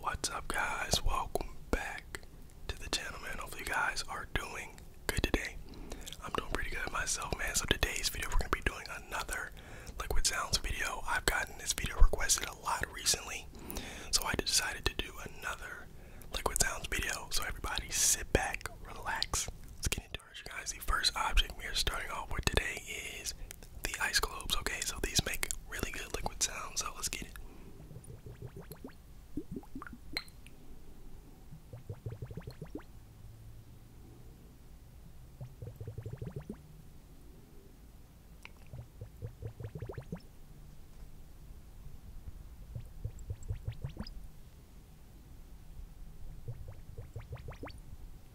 What's up, guys? Welcome back to the channel, man. Hopefully, guys are doing good today. I'm doing pretty good myself, man. So, today's video, we're gonna be doing another liquid sounds video. I've gotten this video requested a lot recently, so I decided to do another liquid sounds video. So, everybody, sit back, relax, let's get into it guys, the first object we are starting off with today is the ice globes, okay? So these make really good liquid sounds, so let's get it.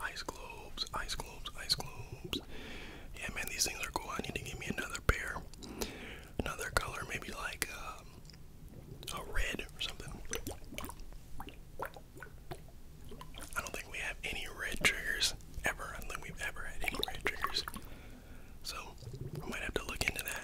Ice globes, ice globes, ice globes. Yeah, man, these things are cool. I need to get me another pair, another color, maybe like um, a red or something. I don't think we have any red triggers ever. I don't think we've ever had any red triggers. So I might have to look into that.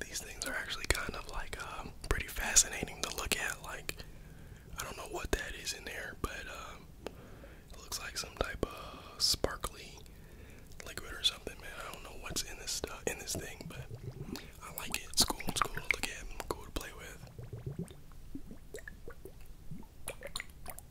These things are actually kind of like um, pretty fascinating to look at. Like, I don't know what that is in there, but um, it looks like some type of sparkly liquid or something, man. I don't know what's in this in this thing, but I like it. It's cool. It's cool to look at. Cool to play with.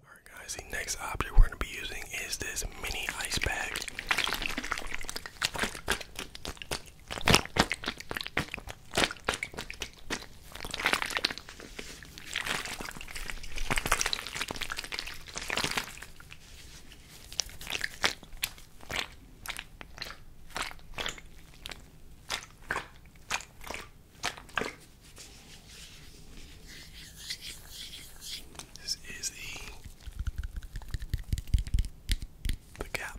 Alright guys, the next object we're going to be using is this mini ice pack. This is the the cap.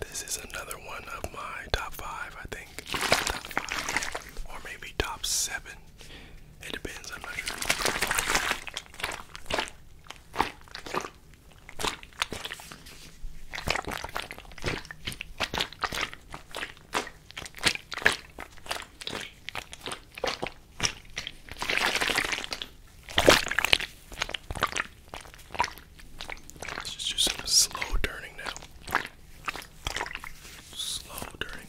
This is another one of my top five, I think. or maybe top seven. It depends, I'm not sure. Let's just do some slow turning now. Slow turning.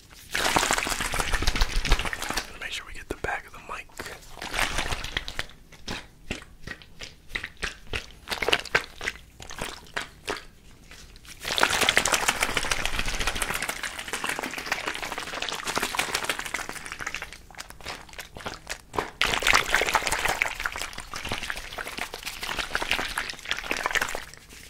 Make sure we get the back of the mic.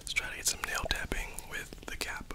Let's try to get some nail tapping with the cap.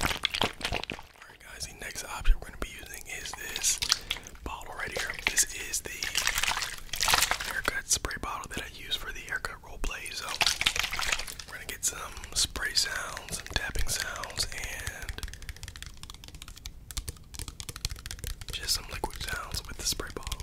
Alright guys, the next object we're gonna be using is this bottle right here. This is the haircut spray bottle that I use for the haircut role play. So we're gonna get some spray sounds, some tapping sounds, and just some liquid sounds with the spray bottle.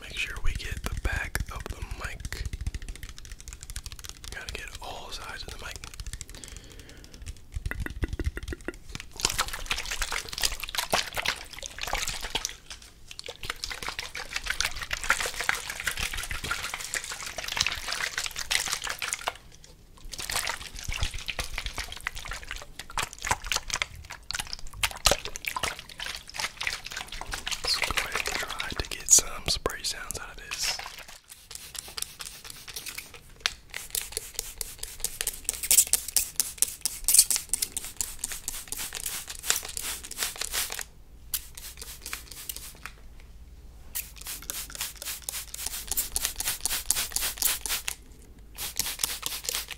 Make sure we get the back of the mic. Gotta get all sides of the mic. So I'm going to try to get some spray sounds out of this.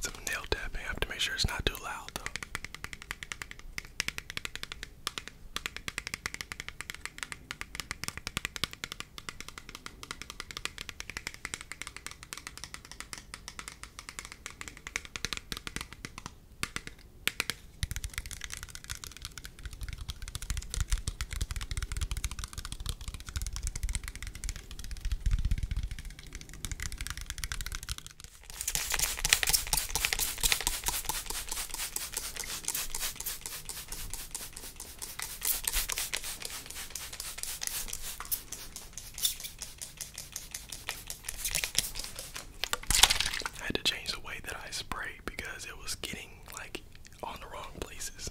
Some nail tapping. I have to make sure it's not too loud though. I had to change the way that I sprayed because it was getting like on the wrong places.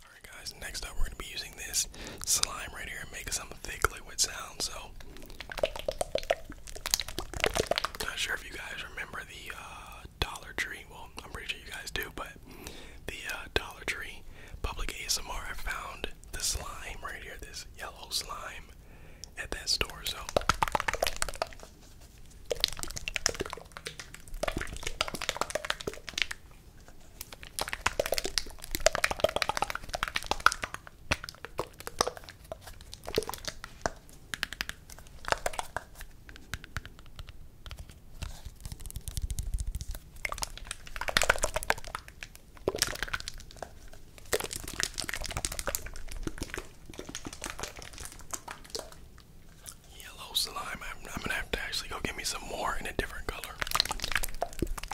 Alright guys, next up we're going to be using this slime right here and make some thick liquid sound. So, not sure if you guys remember the uh, Dollar Tree. Well, I'm pretty sure you guys do, but the uh, Dollar Tree public ASMR. I found this slime right here, this yellow slime, at that store. So. Yellow slime. I'm, I'm gonna have to actually go get me some more in a different color.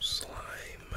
Slime.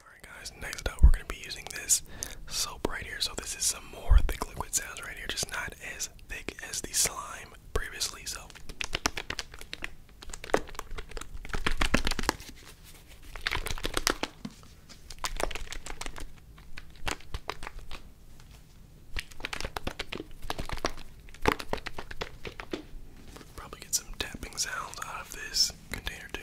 Alright guys, next up we're going to be using this soap right here. So this is some more thick liquid sounds right here, just not as thick as the slime previously. So Probably get some tapping sounds out of this container too.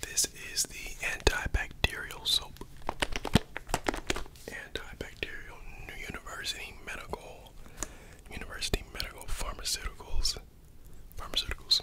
This is the antibacterial soap. Antibacterial New University Medical University Medical Pharmaceuticals. Pharmaceuticals.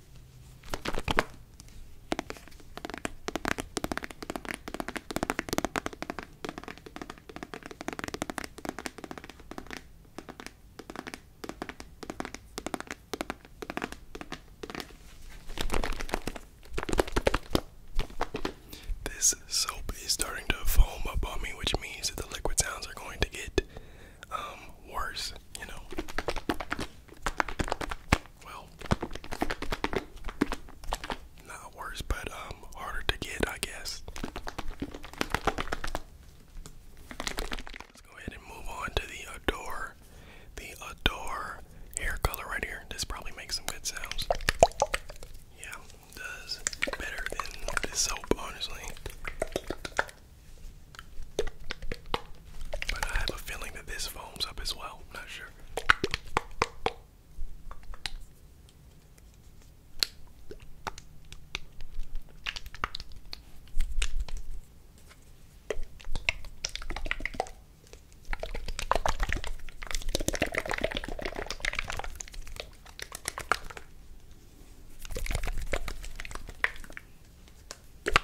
This soap is starting to foam up on me, which means that the liquid sounds are going to get um, worse, you know well, not worse, but um, harder to get, I guess. Let's go ahead and move on to the Adore, the Adore hair color right here. This probably makes some good sounds. Yeah, does better than this soap, honestly. But I have a feeling that this foams up as well. I'm not sure. Alright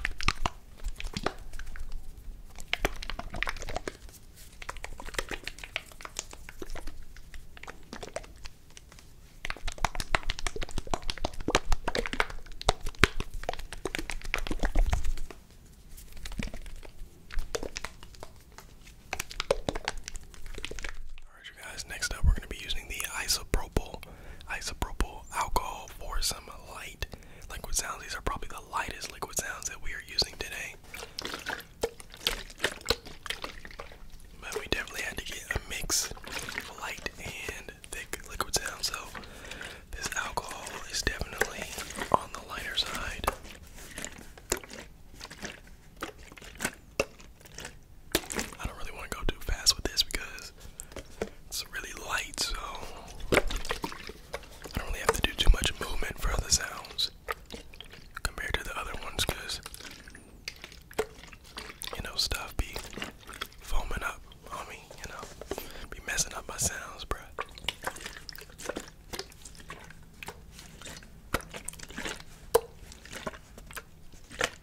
you guys, next up we're going to be using the isopropyl isopropyl alcohol for some light liquid sounds. These are probably the lightest liquid sounds that we are using today. But we definitely had to get a mix of light and thick liquid sound, so this alcohol is definitely on the lighter side. I don't really want to go too fast with this because it's really light, so I don't really have to do too much movement for other sounds compared to the other ones because, you know, stuff be foaming up on me, you know, be messing up my sounds, bruh.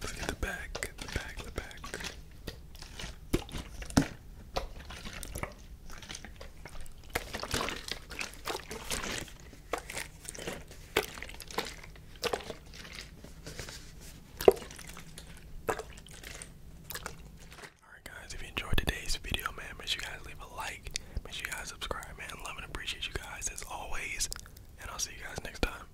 Look at the back, the back, the back. Alright guys, if you enjoyed today's video, man, make sure you guys leave a like, make sure you guys subscribe, man. Love and appreciate you guys as always, and I'll see you guys next time.